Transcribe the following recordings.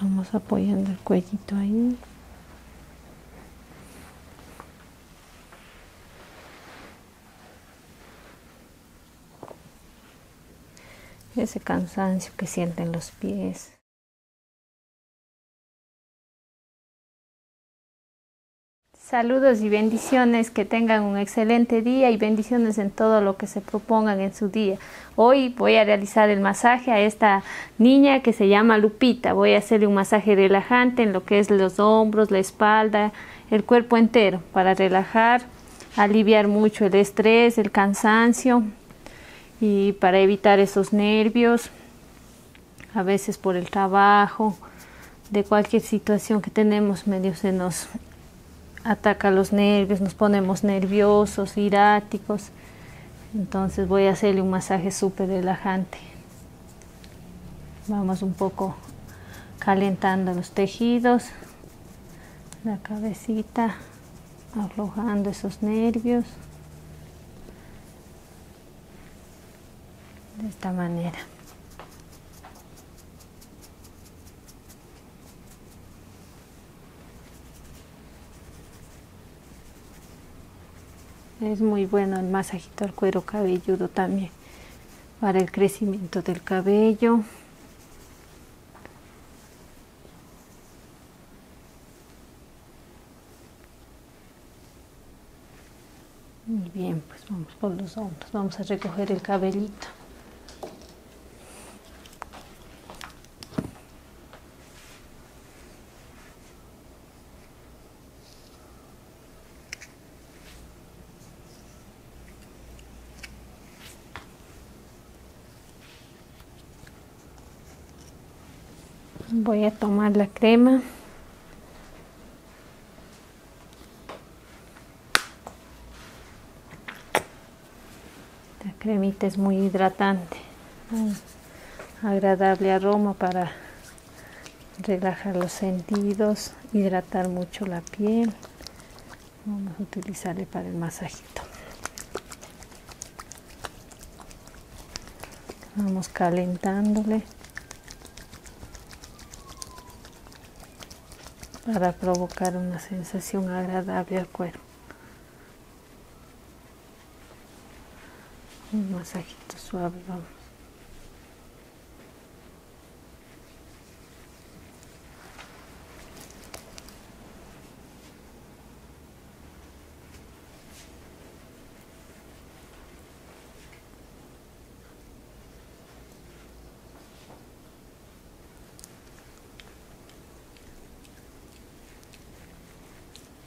vamos apoyando el cuellito ahí ese cansancio que sienten los pies Saludos y bendiciones, que tengan un excelente día y bendiciones en todo lo que se propongan en su día. Hoy voy a realizar el masaje a esta niña que se llama Lupita. Voy a hacerle un masaje relajante en lo que es los hombros, la espalda, el cuerpo entero para relajar, aliviar mucho el estrés, el cansancio y para evitar esos nervios, a veces por el trabajo, de cualquier situación que tenemos medio senos ataca los nervios, nos ponemos nerviosos, iráticos. Entonces voy a hacerle un masaje súper relajante. Vamos un poco calentando los tejidos, la cabecita, arrojando esos nervios. De esta manera. Es muy bueno el masajito al cuero cabelludo también para el crecimiento del cabello. Muy bien, pues vamos por los ojos. vamos a recoger el cabellito voy a tomar la crema la cremita es muy hidratante, agradable aroma para relajar los sentidos, hidratar mucho la piel. Vamos a utilizarle para el masajito. Vamos calentándole para provocar una sensación agradable al cuerpo un masajito suave vamos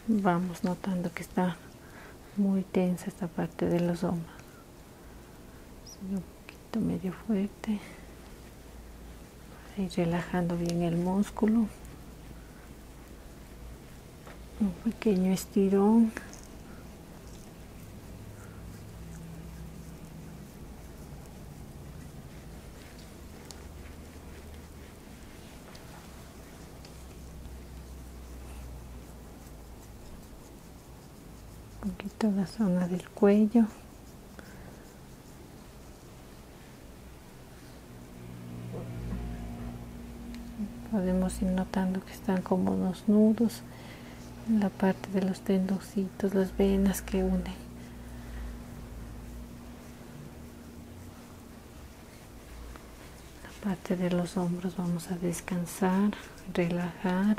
vamos notando que está muy tensa esta parte de los hombros un poquito medio fuerte y relajando bien el músculo un pequeño estirón un poquito la zona del cuello podemos ir notando que están como unos nudos en la parte de los tendoncitos las venas que unen la parte de los hombros vamos a descansar relajar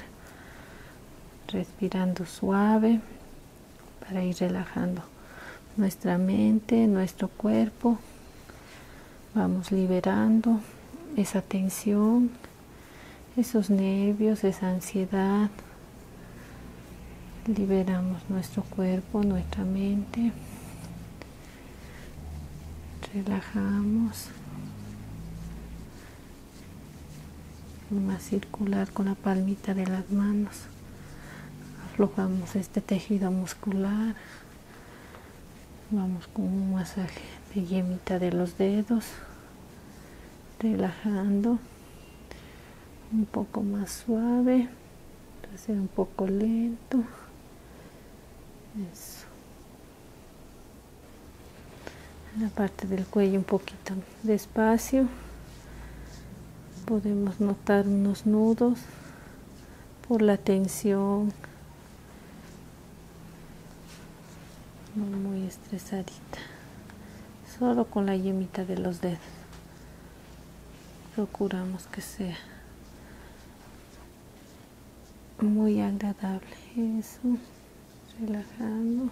respirando suave para ir relajando nuestra mente nuestro cuerpo vamos liberando esa tensión esos nervios esa ansiedad liberamos nuestro cuerpo, nuestra mente, relajamos, más circular con la palmita de las manos, aflojamos este tejido muscular, vamos con un masaje de yemita de los dedos, relajando, un poco más suave hacer un poco lento eso la parte del cuello un poquito despacio podemos notar unos nudos por la tensión muy estresadita solo con la yemita de los dedos procuramos que sea muy agradable eso relajando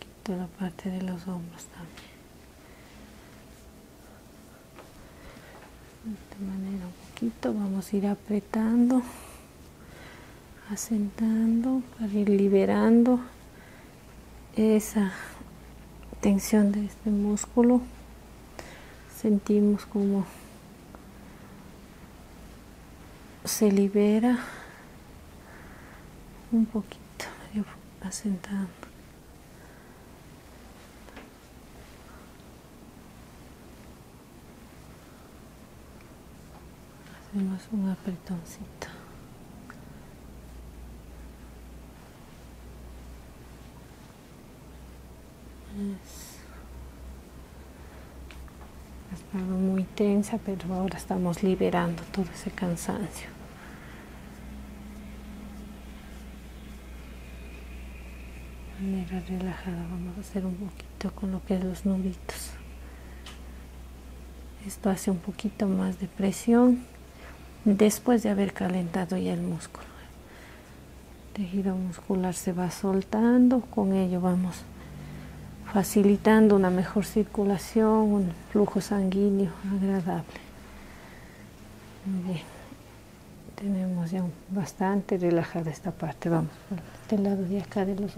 quito la parte de los hombros también de manera un poquito vamos a ir apretando asentando liberando esa tensión de este músculo sentimos como se libera un poquito asentando Hacemos un apretoncito. Eso. Estaba muy tensa, pero ahora estamos liberando todo ese cansancio. manera relajada vamos a hacer un poquito con lo que es los nuditos esto hace un poquito más de presión después de haber calentado ya el músculo tejido muscular se va soltando con ello vamos facilitando una mejor circulación un flujo sanguíneo agradable tenemos ya bastante relajada esta parte vamos este lado de acá de los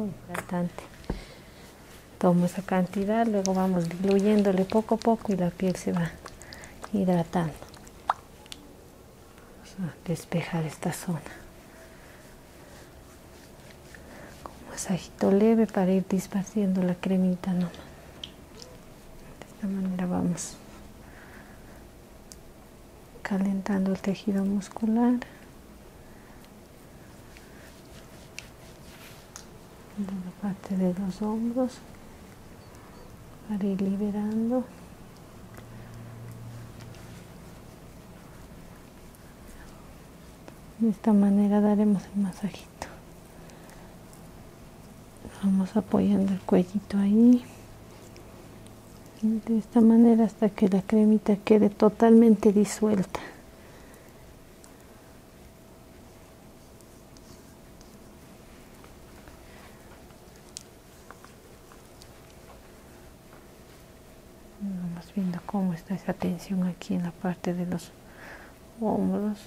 Tomo esa cantidad, luego vamos diluyéndole poco a poco y la piel se va hidratando. Vamos a despejar esta zona. Con masajito leve para ir dispaciendo la cremita De esta manera vamos calentando el tejido muscular. la parte de los hombros para ir liberando. De esta manera daremos el masajito. Vamos apoyando el cuellito ahí de esta manera hasta que la cremita quede totalmente disuelta vamos viendo cómo está esa tensión aquí en la parte de los hombros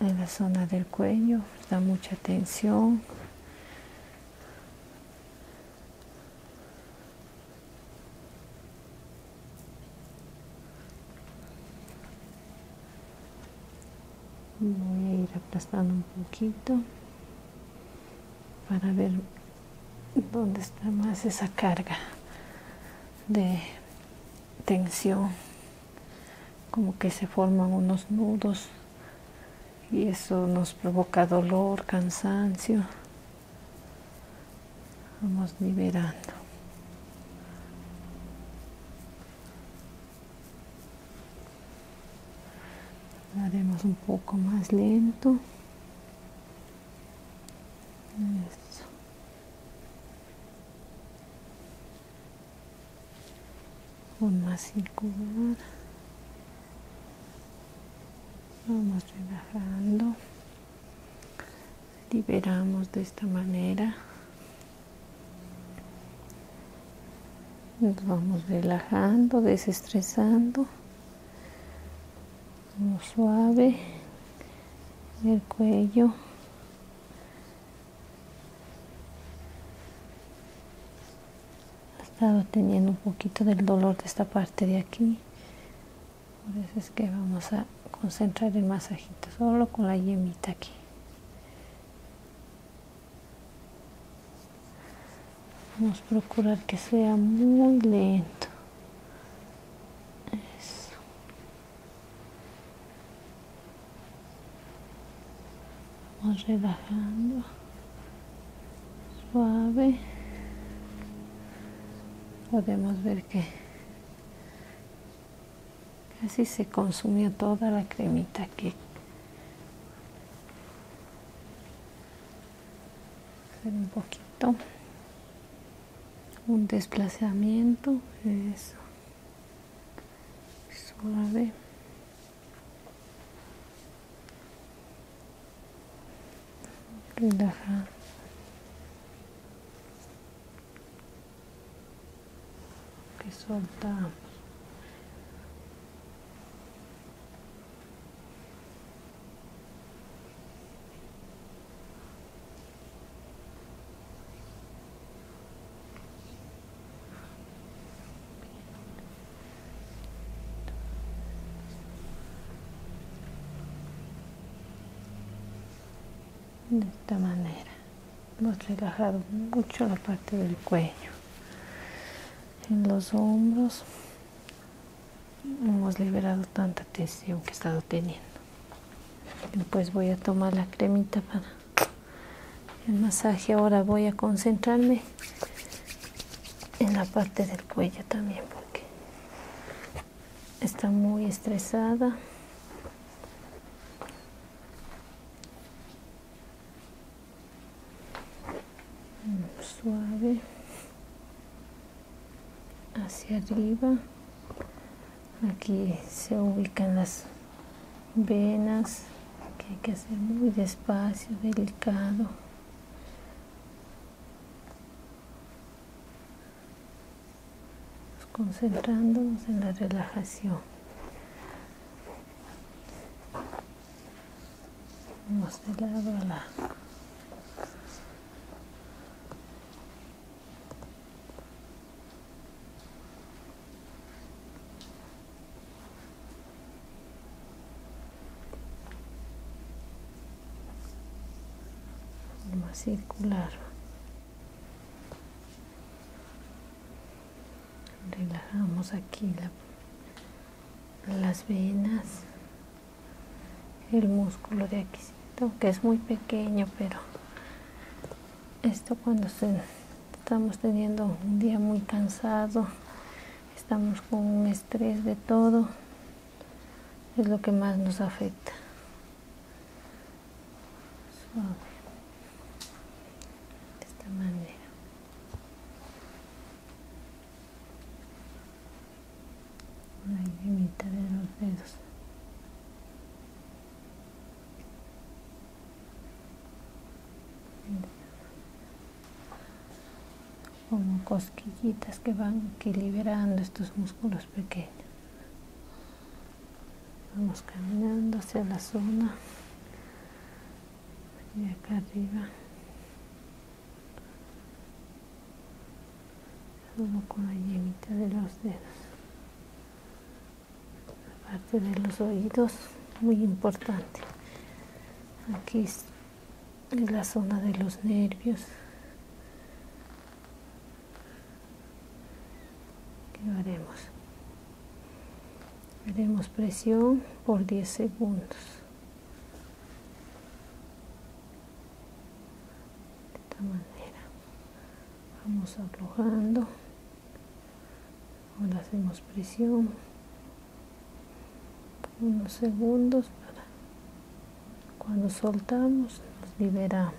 en la zona del cuello da mucha tensión voy a ir aplastando un poquito para ver dónde está más esa carga de tensión como que se forman unos nudos y eso nos provoca dolor, cansancio. Vamos liberando. Haremos un poco más lento. un más circular vamos relajando liberamos de esta manera nos vamos relajando desestresando suave el cuello ha estado teniendo un poquito del dolor de esta parte de aquí por eso es que vamos a concentrar el masajito solo con la yemita aquí vamos a procurar que sea muy lento eso. vamos relajando suave podemos ver que casi se consumió toda la cremita que un poquito un desplazamiento eso suave relaja. Que soltamos de esta manera hemos relajado mucho la parte del cuello en los hombros hemos liberado tanta tensión que he estado teniendo después voy a tomar la cremita para el masaje ahora voy a concentrarme en la parte del cuello también porque está muy estresada mm, suave hacia arriba aquí se ubican las venas que hay que hacer muy despacio delicado concentrándonos en la relajación. Vamos de lado a la forma circular relajamos aquí la, las venas el músculo de aquí que es muy pequeño pero esto cuando estamos teniendo un día muy cansado estamos con un estrés de todo es lo que más nos afecta. Suave. De esta manera. Una mitad de los dedos como cosquillitas que van equilibrando estos músculos pequeños vamos caminando hacia la zona y acá arriba con la llenita de los dedos la parte de los oídos muy importante aquí en la zona de los nervios ¿Qué haremos haremos presión por 10 segundos de esta manera vamos aflojando ahora hacemos presión unos segundos para cuando soltamos nos liberamos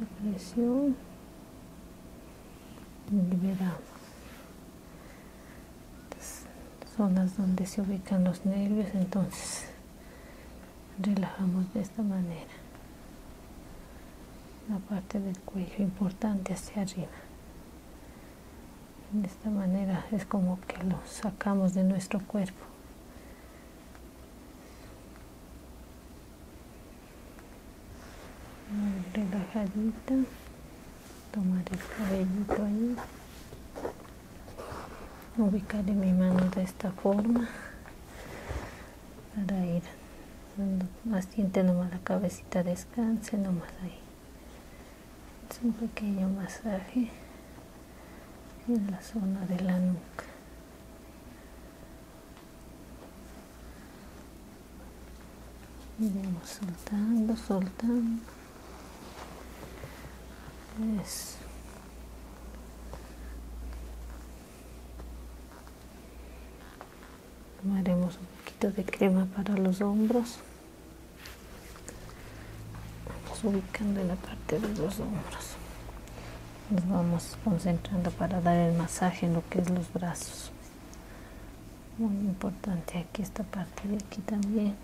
la presión liberamos Estas zonas donde se ubican los nervios entonces relajamos de esta manera la parte del cuello importante hacia arriba de esta manera es como que lo sacamos de nuestro cuerpo relajadita tomar el cabellito ahí ubicaré mi mano de esta forma para ir haciendo nomás la cabecita descanse nomás ahí un pequeño masaje en la zona de la nuca vamos soltando soltando tomaremos un poquito de crema para los hombros Vamos ubicando en la parte de los hombros. Nos vamos concentrando para dar el masaje en lo que es los brazos. Muy importante aquí esta parte de aquí también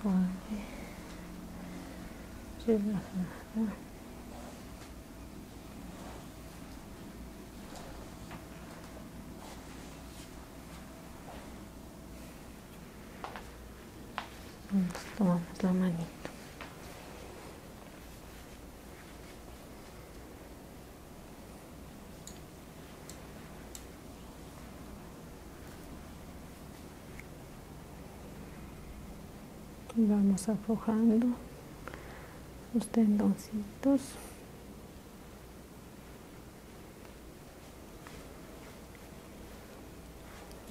suave, relajada. tomamos la vamos aflojando los tendoncitos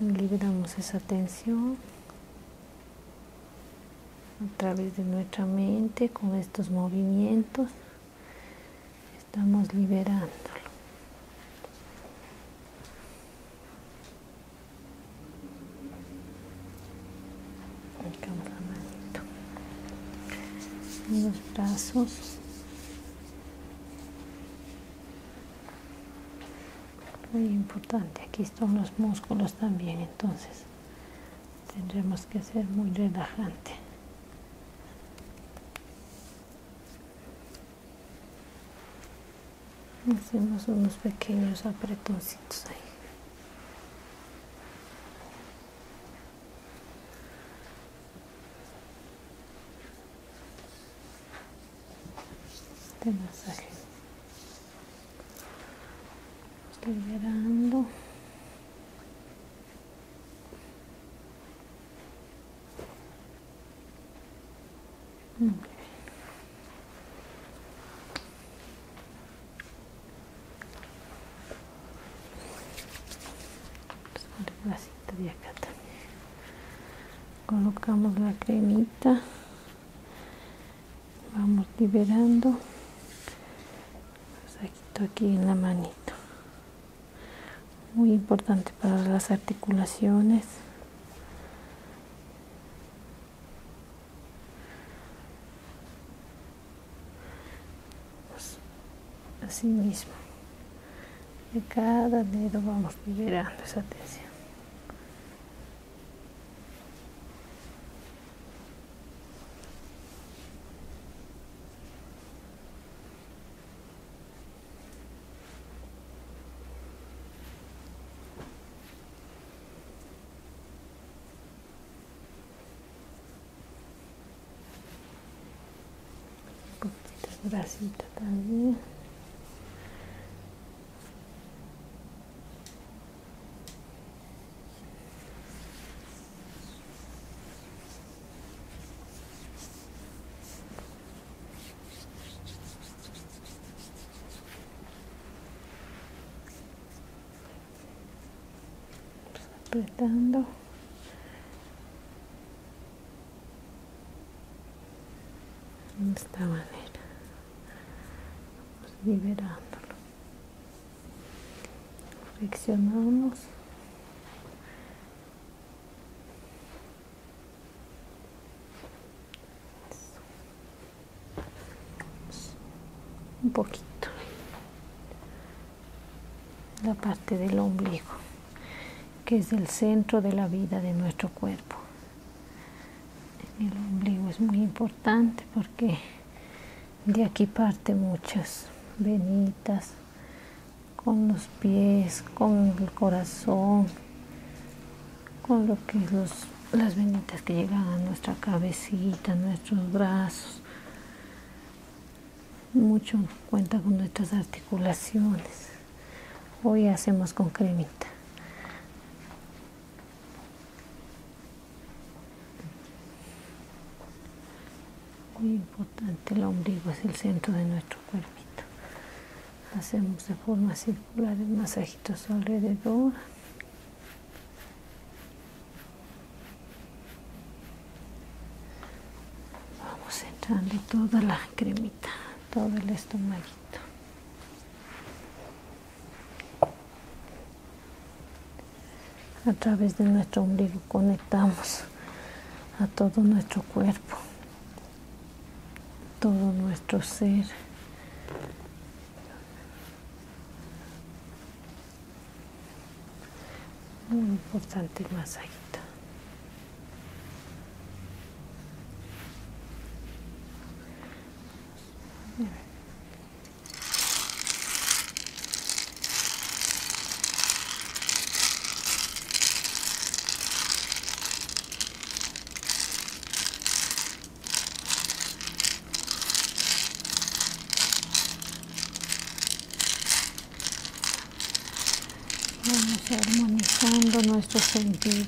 libramos esa tensión a través de nuestra mente con estos movimientos estamos liberándolo. Los brazos. Muy importante, aquí están los músculos también, entonces tendremos que ser muy relajante Hacemos unos pequeños apretoncitos ahí. De este masaje. Estoy liberando. Muy bien. La cinta de acá también. Colocamos la cremita. Vamos liberando. Pues aquí en la manito muy importante para las articulaciones pues, así mismo de cada dedo vamos liberando esa tensión un de grasita también apretando esta manera vamos liberándolo flexionamos un poquito la parte del ombligo que es el centro de la vida de nuestro cuerpo el ombligo es muy importante porque de aquí parte muchas venitas con los pies, con el corazón, con lo que es las venitas que llegan a nuestra cabecita, nuestros brazos. Mucho cuenta con nuestras articulaciones. Hoy hacemos con cremita muy importante el ombligo es el centro de nuestro cuerpo hacemos de forma circular el masajito alrededor vamos entrando toda la cremita todo el estomaguito a través de nuestro ombligo conectamos a todo nuestro cuerpo, todo nuestro ser. Muy importante más Vamos armonizando nuestros sentidos.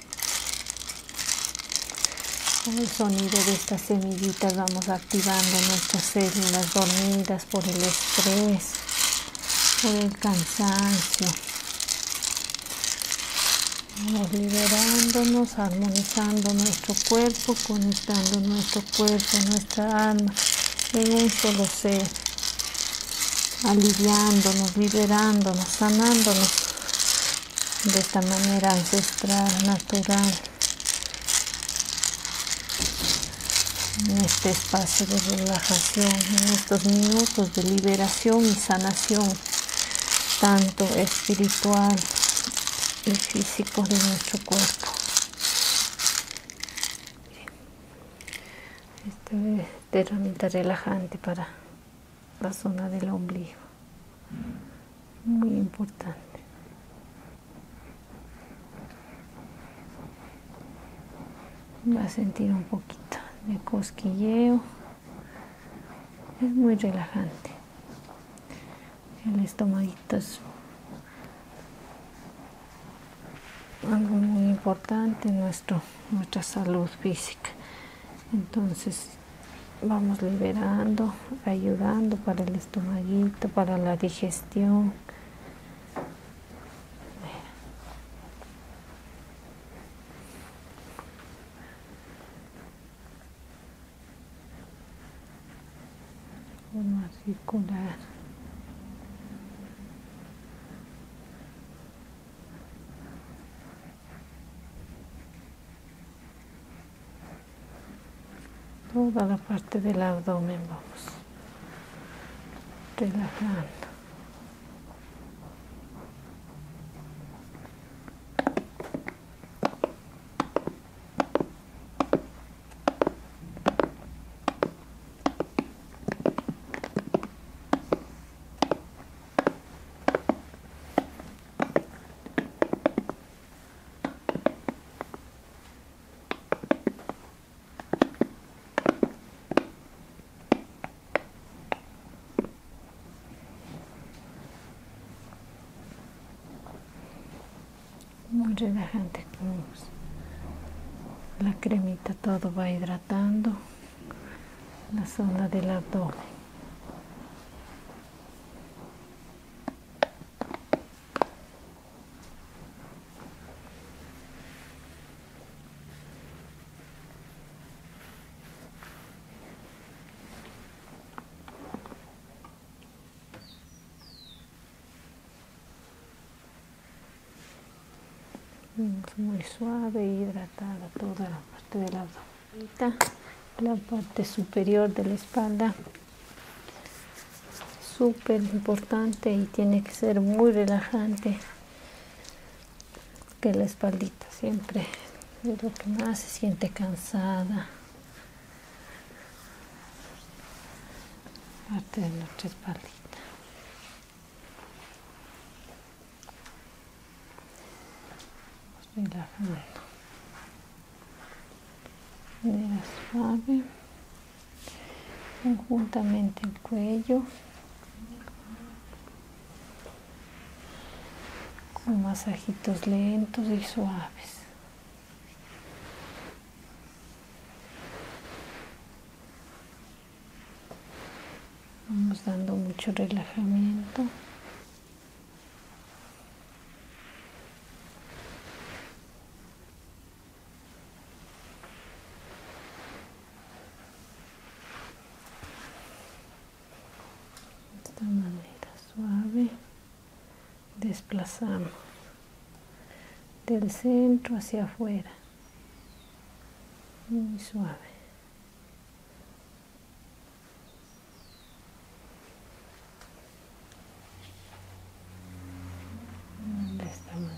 Con el sonido de estas semillitas vamos activando nuestras células dormidas por el estrés, por el cansancio. Vamos liberándonos, armonizando nuestro cuerpo, conectando nuestro cuerpo, nuestra alma en un solo ser, aliviándonos, liberándonos, sanándonos de esta manera ancestral, natural, en este espacio de relajación, en estos minutos de liberación y sanación, tanto espiritual y físico de nuestro cuerpo. Esta herramienta relajante para la zona del ombligo. Muy importante. Va a sentir un poquito de cosquilleo. Es muy relajante. El estomadito es algo muy importante nuestro, nuestra salud física entonces vamos liberando ayudando para el estomaguito para la digestión circular toda la parte del abdomen vamos relajando muy relajante la cremita todo va hidratando la zona del abdomen Mm, muy suave y hidratada toda la parte del abdomen la parte superior de la espalda súper importante y tiene que ser muy relajante que la espaldita siempre es lo que más se siente cansada parte de nuestra espalda relajando suave conjuntamente el cuello con masajitos lentos y suaves vamos dando mucho relajamiento esta manera suave desplazamos del centro hacia afuera muy suave de esta manera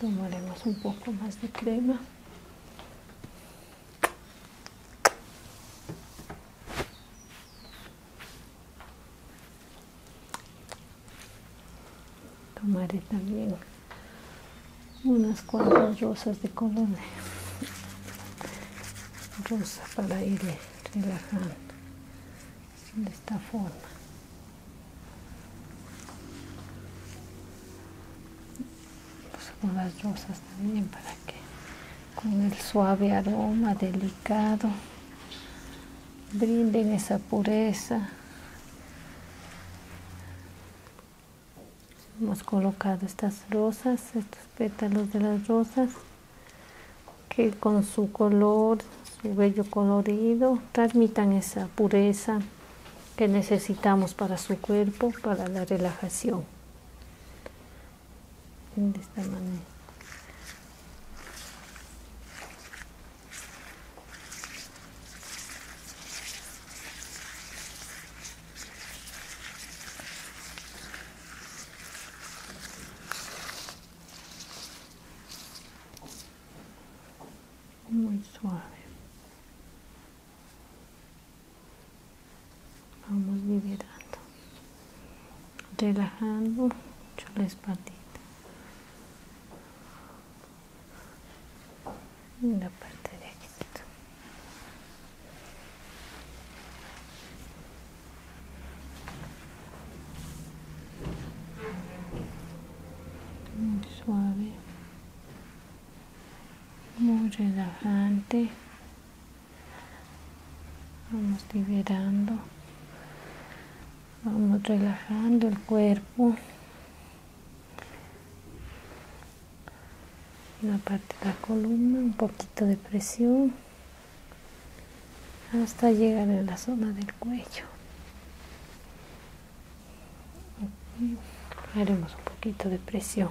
tomaremos un poco más de crema Tomaré también unas cuantas rosas de color rosa para ir eh, relajando de esta forma pues, las rosas también para con el suave aroma delicado brinden esa pureza. Hemos colocado estas rosas, estos pétalos de las rosas, que con su color, su bello colorido, transmitan esa pureza que necesitamos para su cuerpo, para la relajación de esta manera muy suave vamos liberando relajando mucho la espalda en la parte de muy suave muy relajante Vamos liberando. Vamos relajando el cuerpo. La parte de la columna, un poquito de presión. Hasta llegar a la zona del cuello. Haremos un poquito de presión.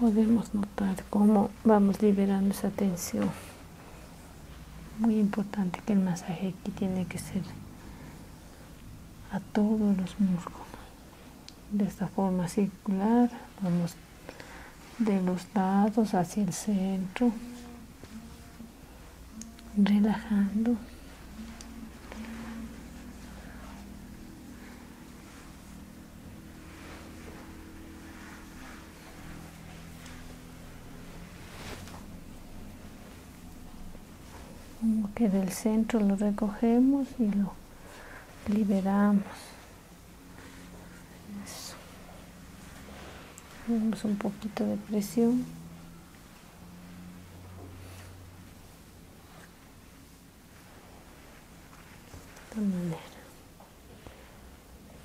Podemos notar cómo vamos liberando esa tensión. Muy importante que el masaje aquí tiene que ser a todos los músculos. De esta forma circular, vamos de los lados hacia el centro relajando. Como que del centro lo recogemos y lo liberamos. un poquito de presión. De esta manera.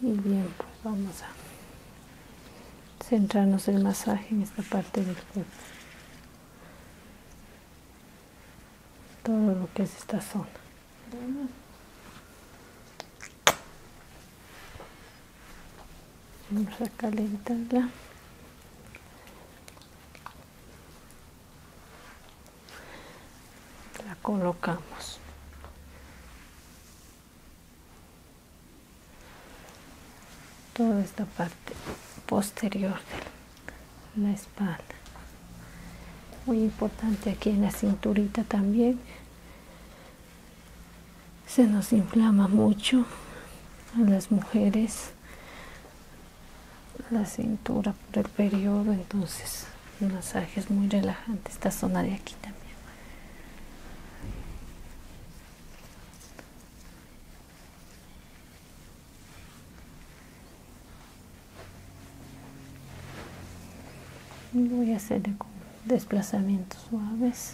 Y bien, pues vamos a centrarnos el masaje en esta parte del cuerpo. Todo lo que es esta zona vamos a calentarla la colocamos toda esta parte posterior de la espalda muy importante aquí en la cinturita también se nos inflama mucho a las mujeres la cintura por el periodo, entonces un masaje es muy relajante, esta zona de aquí también. voy a hacer desplazamientos suaves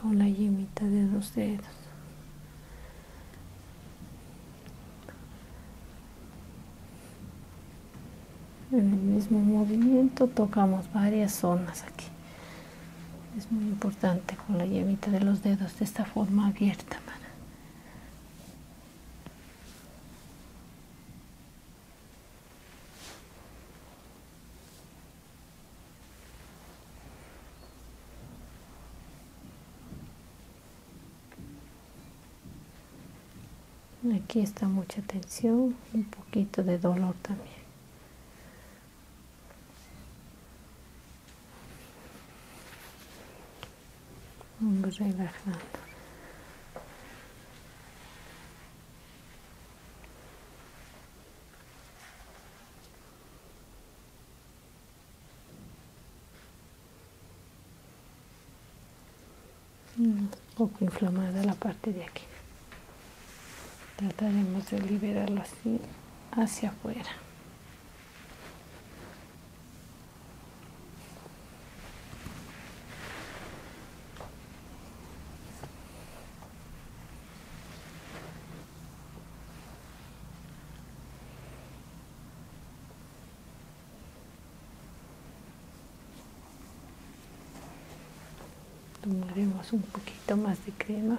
con la yemita de los dedos en el mismo movimiento tocamos varias zonas aquí es muy importante con la yemita de los dedos de esta forma abierta Aquí está mucha tensión, un poquito de dolor también. Vamos relajando. Mm, un poco inflamada la parte de aquí trataremos de liberarlo así hacia afuera Tomaremos un poquito más de crema.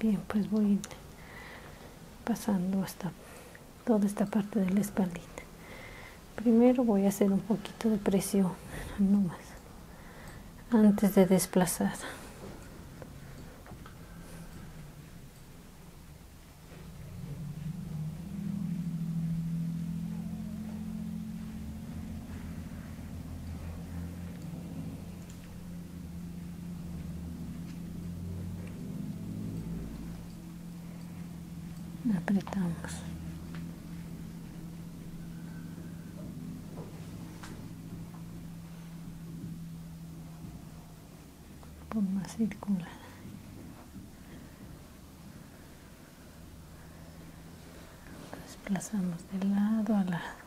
Bien, pues voy pasando hasta toda esta parte de la espalda Primero voy a hacer un poquito de presión, no más, antes de desplazar apretamos más circular desplazamos de lado a lado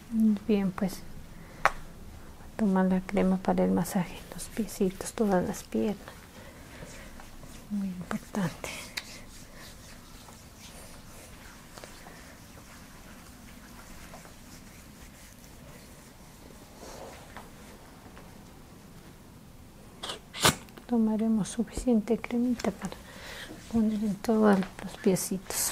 Bien, pues tomar la crema para el masaje, los piecitos, todas las piernas. Muy importante. Tomaremos suficiente cremita para poner en todos los piecitos.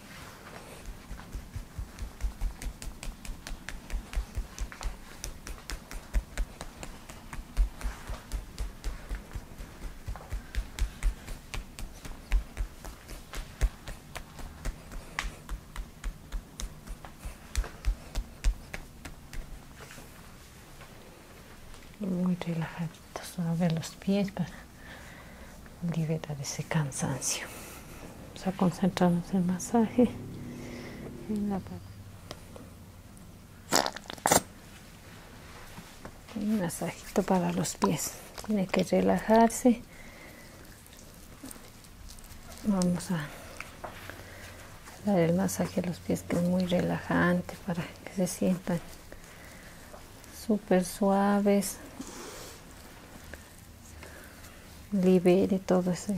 muy relajados A ver los pies liberar ese cansancio. Vamos a concentrarnos en el masaje, Un masajito para los pies. Tiene que relajarse. Vamos a dar el masaje a los pies que es muy relajante para que se sientan súper suaves libere todo ese,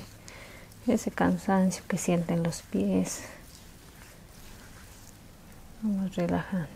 ese cansancio que sienten los pies. Vamos relajándonos.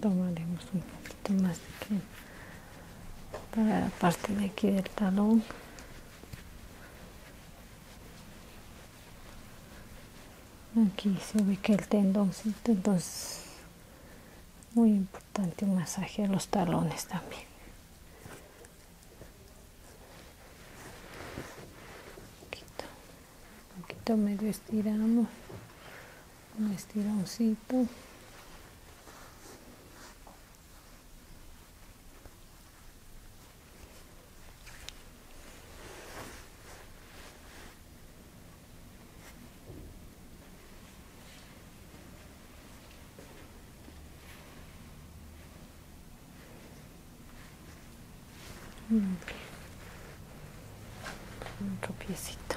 Tomaremos un poquito más de que para la parte de aquí del talón aquí se ve que el tendón entonces muy importante un masaje a los talones también un poquito, un poquito medio estiramos un estirancito otro piecito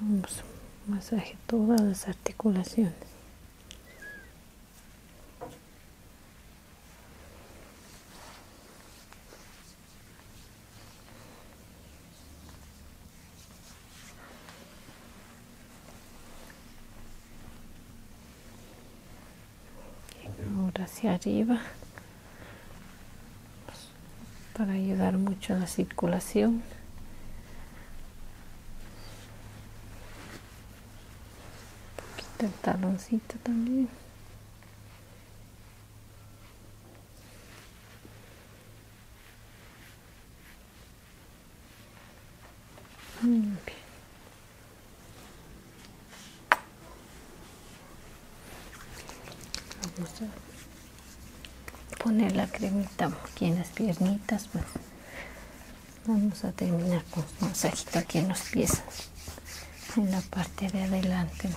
Vamos, masaje todas las articulaciones. ahora hacia arriba para ayudar mucho a la circulación. quita el taloncito también poner la cremita aquí en las piernitas pues. vamos a terminar con un masajito aquí en los pies en la parte de adelante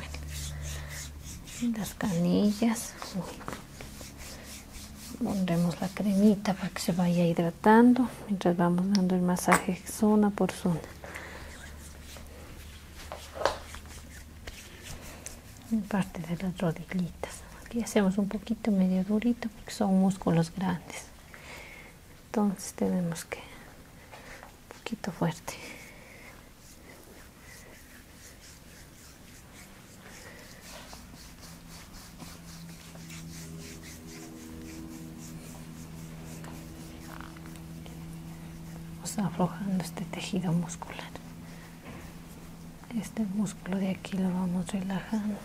las canillas pondremos la cremita para que se vaya hidratando mientras vamos dando el masaje zona por zona en parte de las rodillitas aquí hacemos un poquito medio durito porque son músculos grandes entonces tenemos que un poquito fuerte Vamos aflojando este tejido muscular este músculo de aquí lo vamos relajando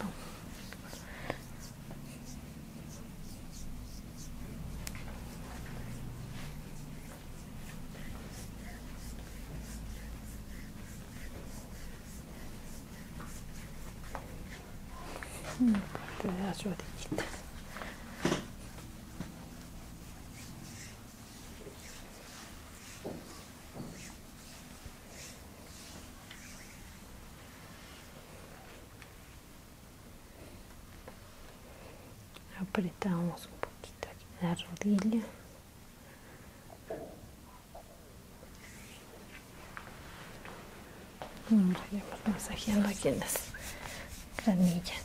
de apretamos un poquito la rodilla mm, vamos a masajeando aquí en las canillas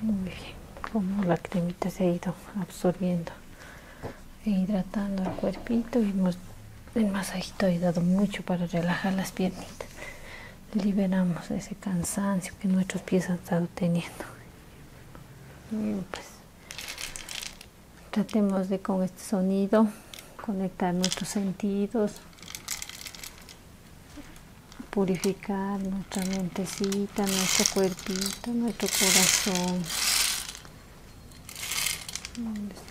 Muy bien, como la cremita se ha ido absorbiendo e hidratando el cuerpito y el masajito ha ayudado mucho para relajar las piernitas. Liberamos ese cansancio que nuestros pies han estado teniendo. pues Tratemos de con este sonido conectar nuestros sentidos, purificar nuestra mentecita, nuestro cuerpito, nuestro corazón. De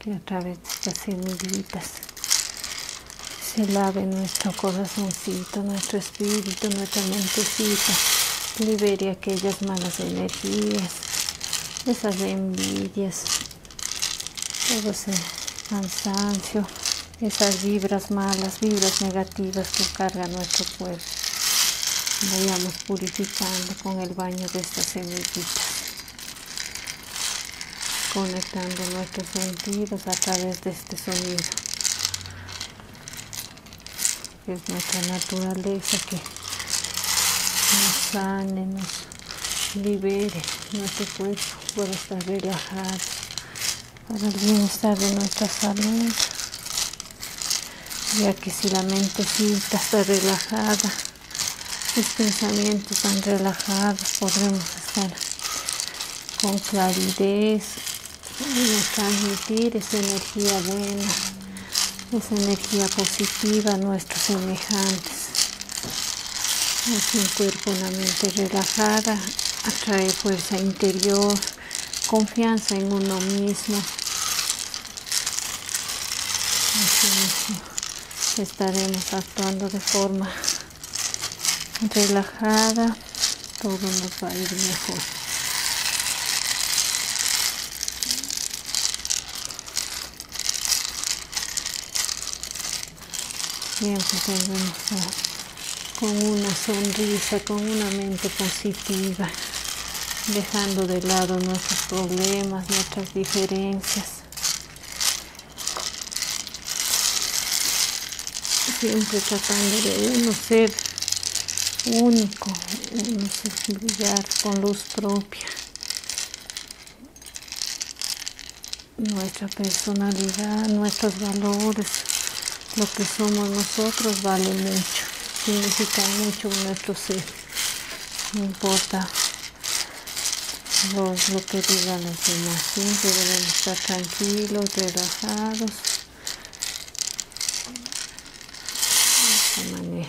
que a través de estas semillitas se lave nuestro corazoncito, nuestro espíritu, nuestra mentecita, libere aquellas malas energías, esas envidias, todo ese cansancio, esas vibras malas, vibras negativas que carga nuestro cuerpo. Vayamos purificando con el baño de estas semillitas conectando nuestros sentidos a través de este sonido. Es nuestra naturaleza que nos sane, nos libere nuestro cuerpo para estar relajado, para el bienestar de nuestra salud. Ya que si la mente sienta, está relajada, los pensamientos están relajados, podremos estar con claridad y transmitir esa energía buena esa energía positiva a nuestros semejantes. Así un cuerpo, una mente relajada, atrae fuerza interior, confianza en uno mismo. mismo estaremos actuando de forma relajada, todo nos va a ir mejor. Siempre con una sonrisa, con una mente positiva, dejando de lado nuestros problemas, nuestras diferencias. Siempre tratando de uno ser único, uno brillar con luz propia nuestra personalidad, nuestros valores, lo que somos nosotros vale mucho, significa mucho nuestro ser. No importa lo que digan los demás, siempre deben estar tranquilos, relajados. De esta manera.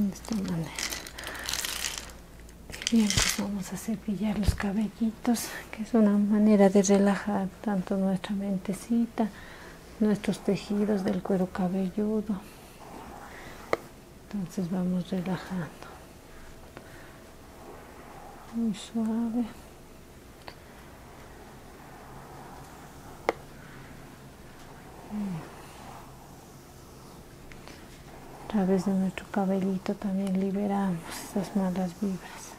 de esta manera pues vamos a cepillar los cabellitos que es una manera de relajar tanto nuestra mentecita nuestros tejidos del cuero cabelludo. Entonces vamos relajando. Muy suave. A través de nuestro cabellito también liberamos esas malas vibras.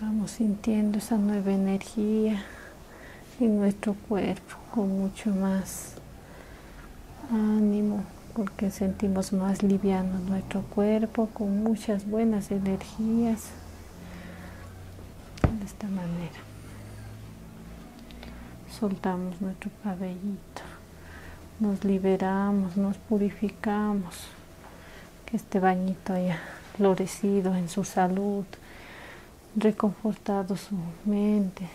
Vamos sintiendo esa nueva energía en nuestro cuerpo con mucho más ánimo porque sentimos más liviano nuestro cuerpo con muchas buenas energías de esta manera soltamos nuestro cabellito nos liberamos, nos purificamos. Que este bañito haya florecido en su salud, reconfortado su mente,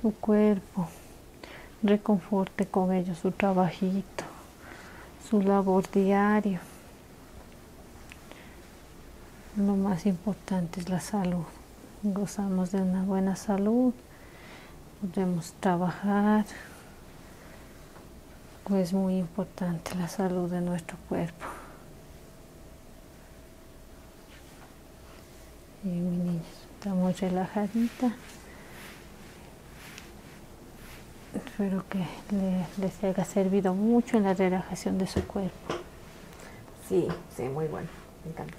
su cuerpo, reconforte con ello su trabajito, su labor diaria. Lo más importante es la salud. Gozamos de una buena salud podemos trabajar, es muy importante la salud de nuestro cuerpo. Y mi niña está muy relajadita. Espero que les haya servido mucho en la relajación de su cuerpo. Sí, sí, muy bueno. Me encanta.